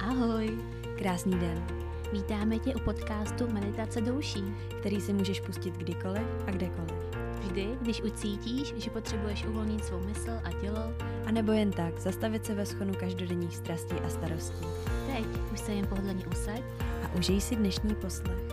Ahoj, krásný den. Vítáme tě u podcastu Meditace douší, který si můžeš pustit kdykoliv a kdekoliv. Vždy, když ucítíš, že potřebuješ uvolnit svou mysl a tělo, anebo jen tak zastavit se ve schonu každodenních strastí a starostí. Teď už se jen pohodlně usaď a užij si dnešní poslech.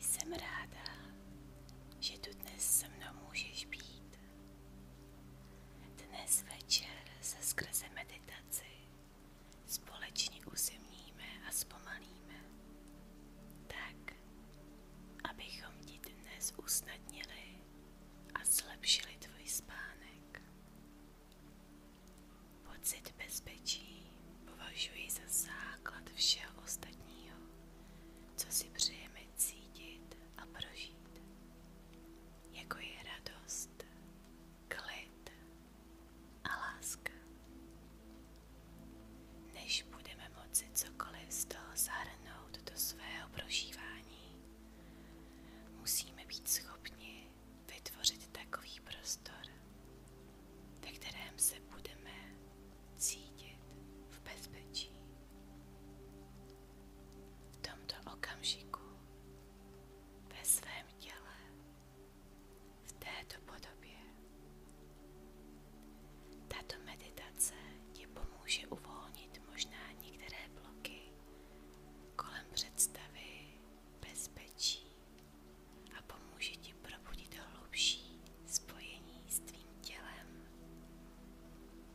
Jsem ráda, že tu dnes se mnou můžeš být. Dnes večer se skrze meditaci společně uzemníme a zpomalíme. Tak, abychom ti dnes a zlepšili tvůj spánek. Pocit bezpečí považuji za základ všeho ostatního, co si přejeme cítit a prožít, jako je radost, klid a láska. Než budeme budeme moci cokoliv z toho zahrnout do svého prožívání, musíme být schopni vytvořit takový prostor, ve kterém se budeme cítit v bezpečí. V tomto okamžiku ve svém těle, v této podobě, tato meditace ti pomůže uvolnit možná některé bloky kolem představy bezpečí a pomůže ti probudit hlubší spojení s tvým tělem,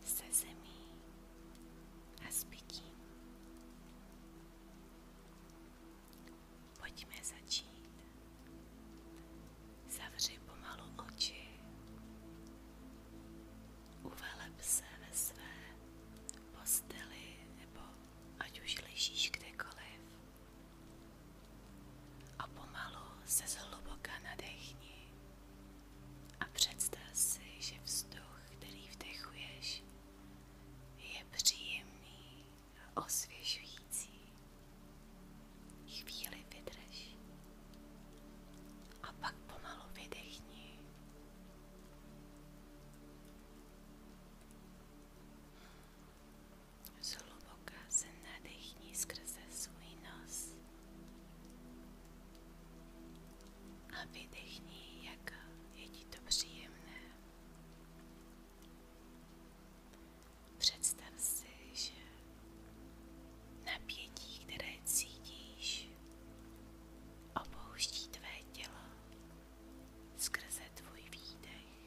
se zemí a s bytím. Pojďme začít. Zavři pomalu oči. Uveleb se ve své posteli nebo ať už ležíš kdekoliv. A pomalu se zhluboka nadechni a představ si, že vzduch, který vdechuješ, je příjemný a osvěžující. Chvíli vydrž a pak pomalu vydechni. Zhluboka se nadechni skrze svůj nos a vydechni, jak je ti to příjemné. Představ si, že napětí, které cítíš, opouští tvé tělo skrze tvůj výdech.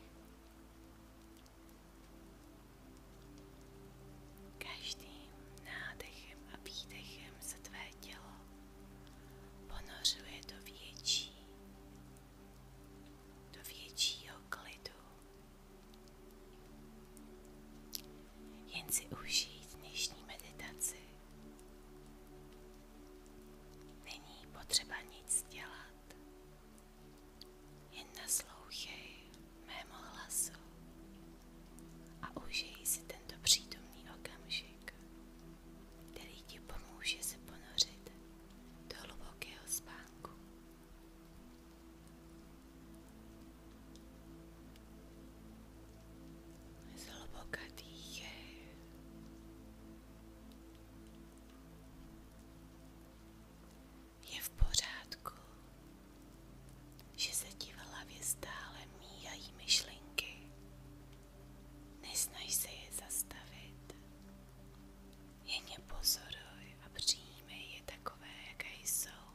Každým nádechem a výdechem se tvé tělo ponořuje do větší, do většího klidu jen si užít dnešní meditaci. Není potřeba nic dělat. Jen naslouchej mému hlasu a užij si tento přítomný okamžik, který ti pomůže se ponořit do hlubokého spánku. Zhluboka dýchej. Je v pořádku, že se ti v míjají myšlenky. Nesnaž se je zastavit. je pozoruj a přijmej je takové, jaké jsou.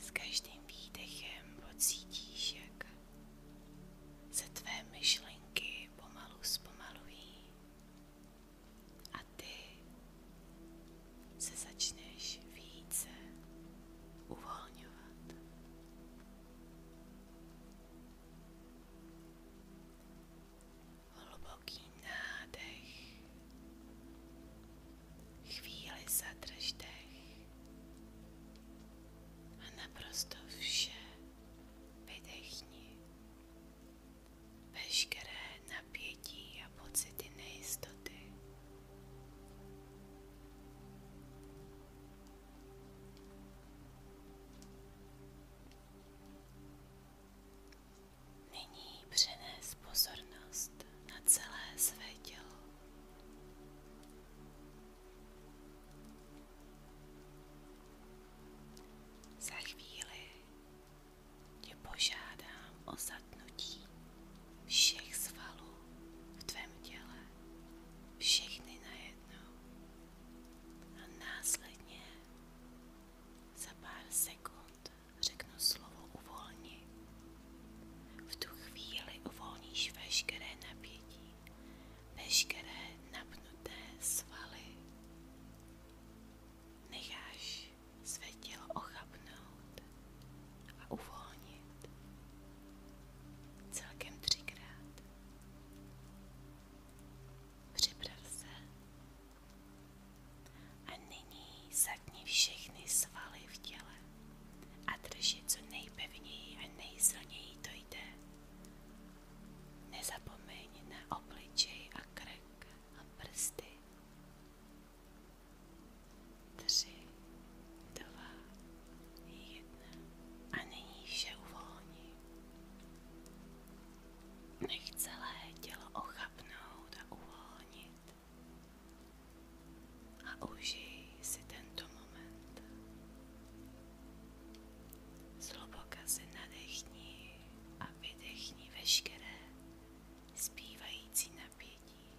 S každým výdechem pocítíš, jak se tvé myšlenky pomalu zpomalují a ty se začneš více uvolňovat. Hluboký nádech. Chvíli zadrž dech. A naprosto vše vydechni. Veškeré napětí a pocity nejistoty. Nyní přenes pozornost na celé své tělo. Za chvíli tě požádám o zatnutí všech svalů v tvém těle, všechny najednou a následně za pár sekund řeknu slovo uvolni. V tu chvíli uvolníš veškeré napětí, veškeré napnuté svaly. Necháš své tělo ochabnout a uvolnit. Celkem třikrát připrav se a nyní zatni všechny svaly v těle a drž je co nejpevněji a nejsilněji to jde. Nezapomeň na obličej a krk a prsty. Tři, dva, jedna a nyní vše uvolni. Nech celé tělo ochapnout a uvolnit. A užij si tento moment. Zhluboka si nadechni a vydechni veškeré zpívající napětí.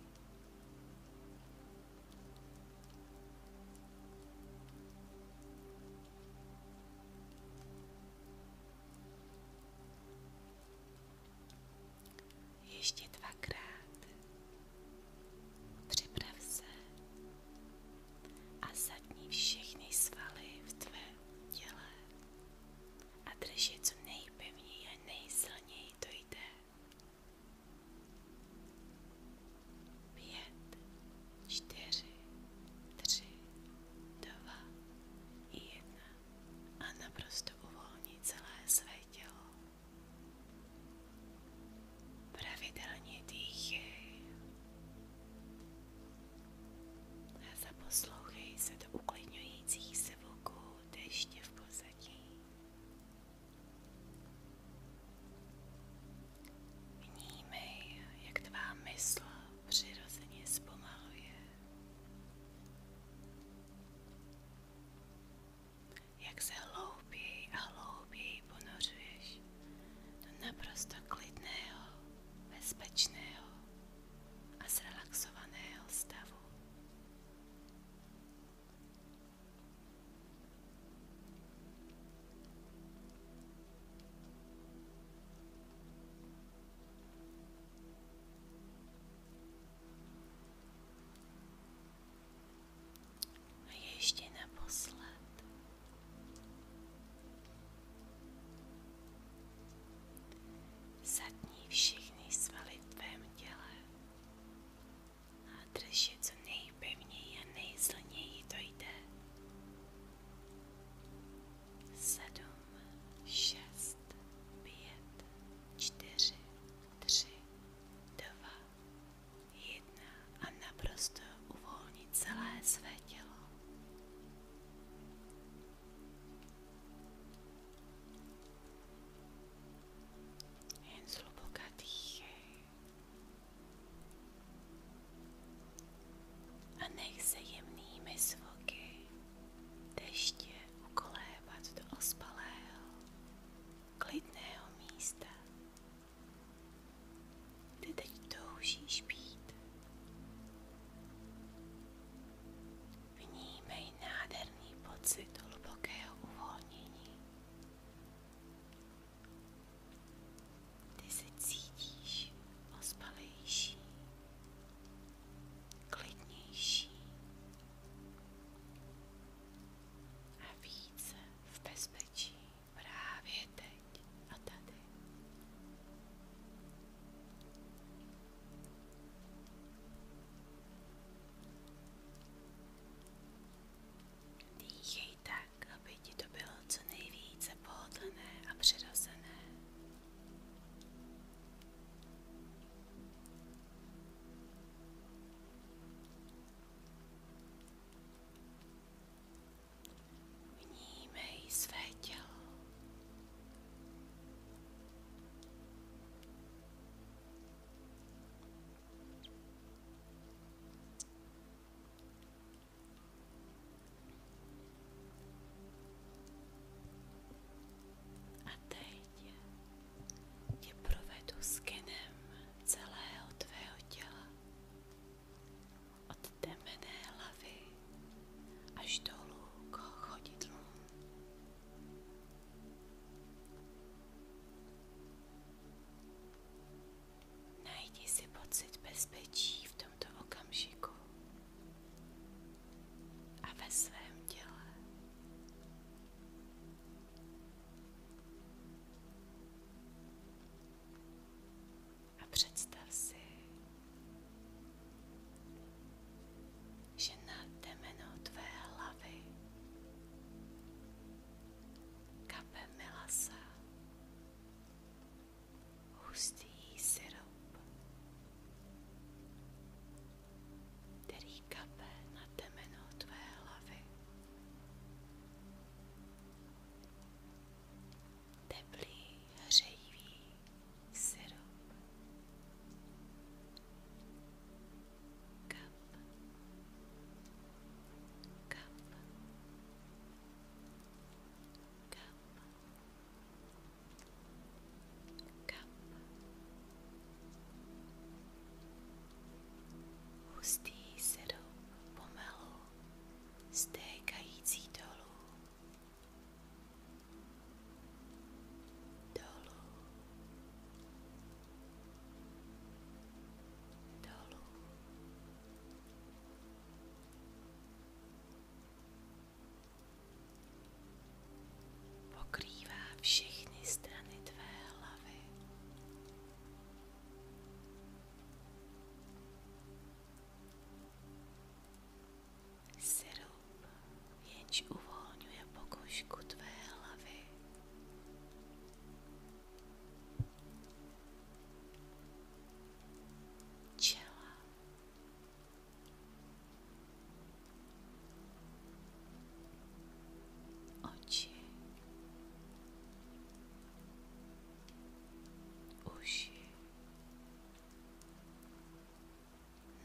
Ještě dvakrát. Připrav se a zadní všechny svaly v tvém těle a drž je co nejpevněji a nejsilněji to jde. Pět, čtyři, tři, dva, jedna a naprosto uvolní celé své tělo. Pravidelně dýchej a zaposlouchej se do uklidňujících zvuků deště v pozadí. Vnímej, jak tvá mysl přirozeně zpomaluje, jak se hlouběji a hlouběji ponořuješ do naprosto klidného, bezpečného a zrelaxovaného stavu. A ještě naposled zatní všechny svaly tvém těle a drž je co nejpevněji a nejsilněji dojde sedm, šest, pět, čtyři, tři, dva, jedna a naprosto uvolnit celé své tělo. Jen zhluboka dýchej. A nech se jemnými zvuky deště ukolébat do ospalého, klidného místa, kde teď toužíš být. Vnímej nádherný pocit hlubokého uvolnění ty se cítíš a více v bezpečí právě teď a tady. Dýchej ji tak, aby ti to bylo co nejvíce pohodlné a přirozené. Vnímej své tělo. A teď tě provedu skenem celého tvého těla. Od temené hlavy až dolů k chodidlům. Najdi si pocit bezpečí v tomto okamžiku a ve svém těle. A představ si, že nad temeno tvé hlavy kape milasa hustý syrop, který kape na temeno tvé hlavy. Teplý, hřejivý syrop. Kap, kap, Hustý sedou pomalu, stékající dolů. Dolů. Dolů. Dolů. Pokrývá všechny strany tvé hlavy. Sirup, jenž uvolňuje pokožku tvé hlavy, čela. Oči, uši,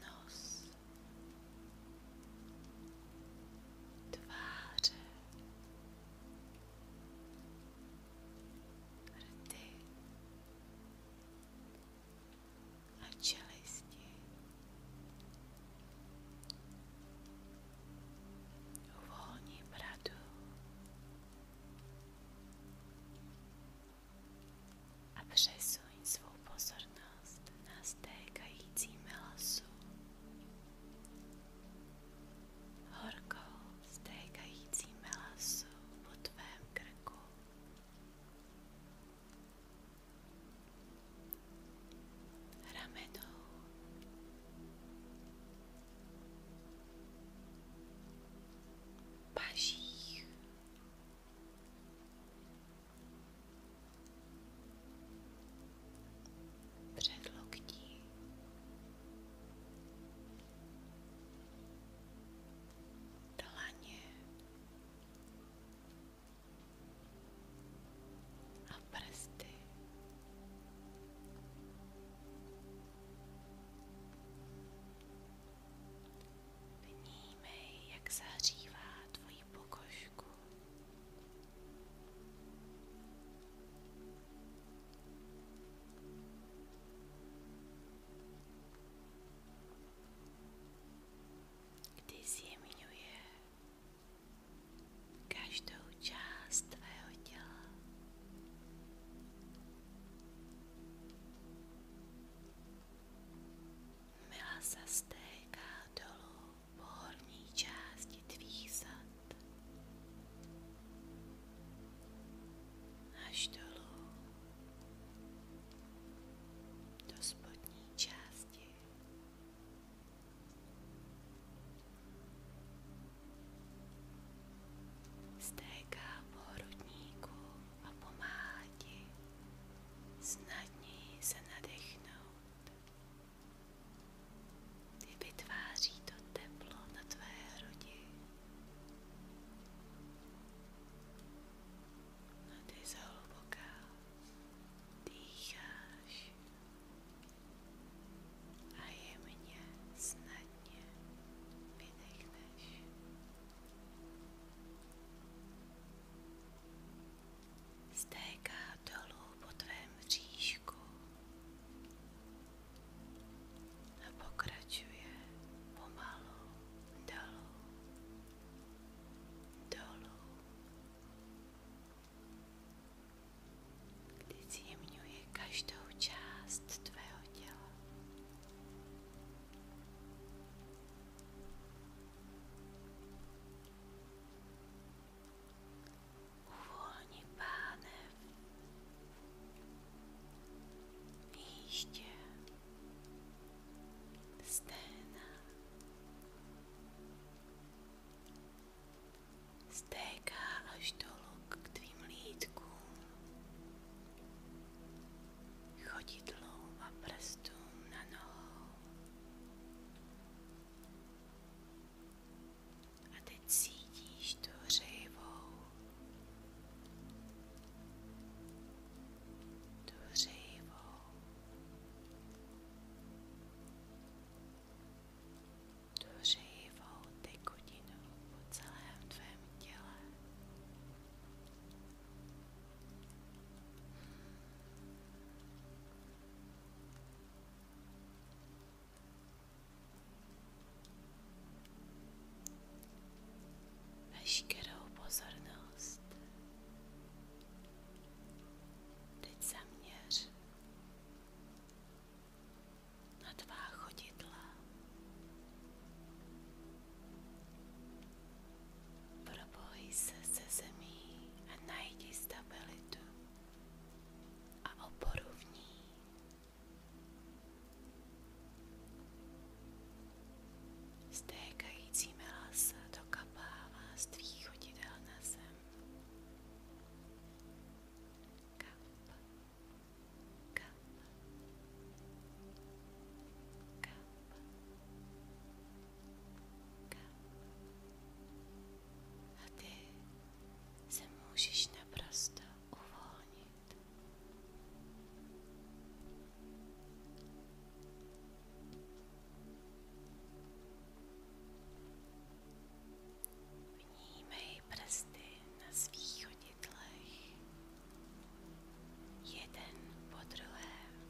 nos, tváře, rty a čelisti. Uvolním radu a přesuň svou pozornost na stékající melosu horkou stékající melasu po tvém krku. Ramenou. Pažích předloktí. Dlaně a prsty. Vnímej, jak zahřívá tvoji pokožku kdy zjemňuje každou část těla. Mila se stéká dolů po horní části bolesti tvých zad až dolů do spodní části. Stéká po hrudníku a pomáhá ti snadněji se nadechnout. Vytváří to teplo na tvé hrudi. A ty dýcháš a jemně snadně vydechneš. Stéká dolů po tvém říšku a pokračuje pomalu dolů, dolů. Kdy zjemňuje každou část tvého těla. Uvolni pánev, jíždě, sténa, stéká až dolů k tvým lítkům, chodidlům a prstům na nohou. A teď cítíš tu hřejivou, tu hřejivou, tu hřejivou tekutinu po celém tvém těle. Veškerou pozornost teď zaměř na tvá chodidla. Proboj se se zemí a najdi stabilitu a oporu v ní. Stékající melas dokapává z tvých chodidel na zem. Kap, kap, kap, kap. A ty se můžeš naprosto uvolnit. Vnímej prsty na svých chodidlech, jeden po druhém.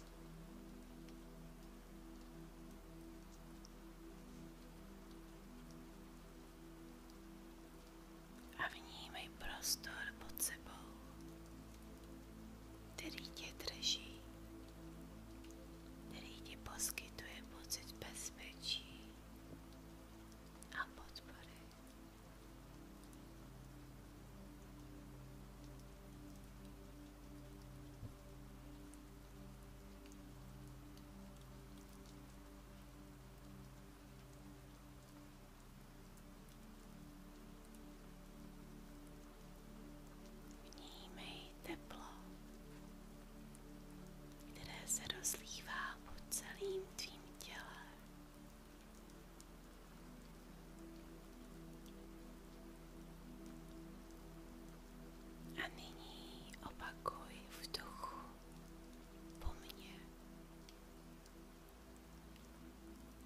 A vnímej prostor pod sebou, který tě drží, který ti poskytuje pocit bezpečí a podpory. Vnímej teplo, které se rozlívá po celým tvým těle. A nyní opakuj v duchu po mně.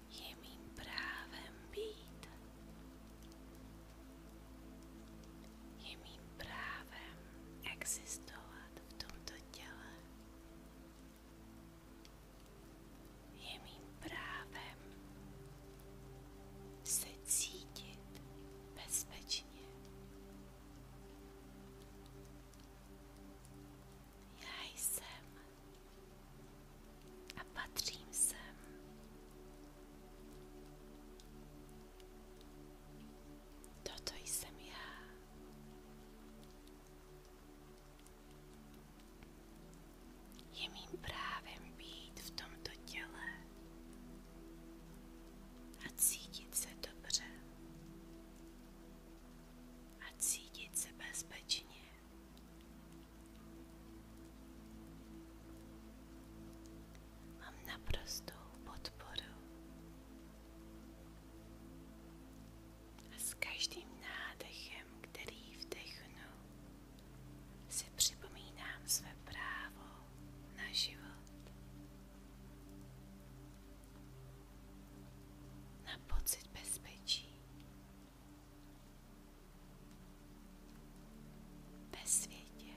Je mým právem být. Je mým právem existovat v tomto těle. Je mým právem se cítit bezpečně bezpečně. Já jsem a patřím sem. Toto jsem já. Je mým právem být v tomto těle a se dobře a se bezpečně. Mám naprostou podporu a s každým nádechem, který vdechnu, si připomínám své právo na život, na pocit bezpečí ve světě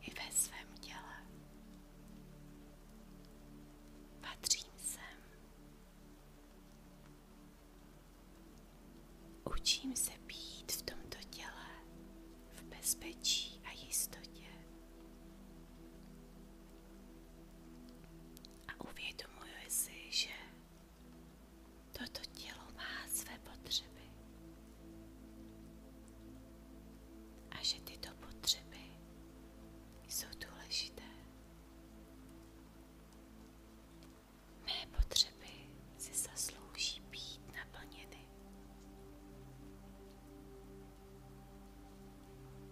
i ve svém těle. Patřím sem. Učím se být v tomto těle v bezpečí a jistotě. A uvědomuji si, že toto tělo má své potřeby a že tyto potřeby jsou důležité. Mé potřeby si zaslouží být naplněny,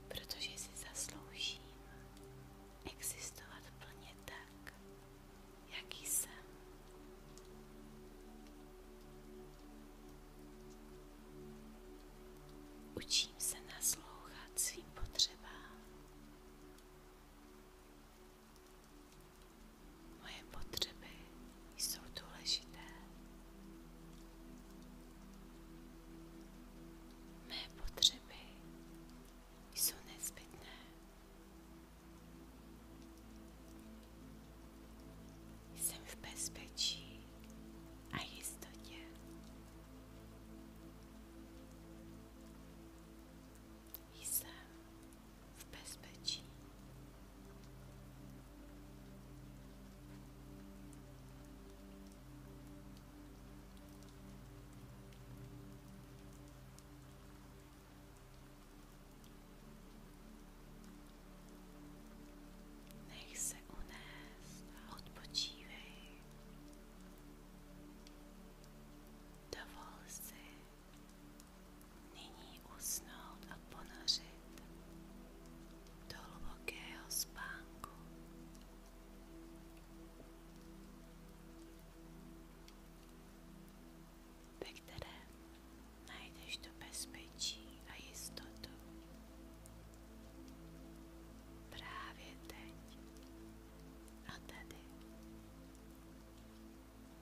protože si zasloužím existovat plně tak, jaký jsem. Učím se naslouchat svým potřebám Moje potřeby jsou důležité. Mé potřeby jsou nezbytné. Jsem v bezpečí a jistotě. Jsem v bezpečí. Nech se unést a odpočívej. Dovol si Nyní usnout a ponořit do hlubokého spánku. Ve kterém najdeš to bezpečí a jistotu. Právě teď a tady.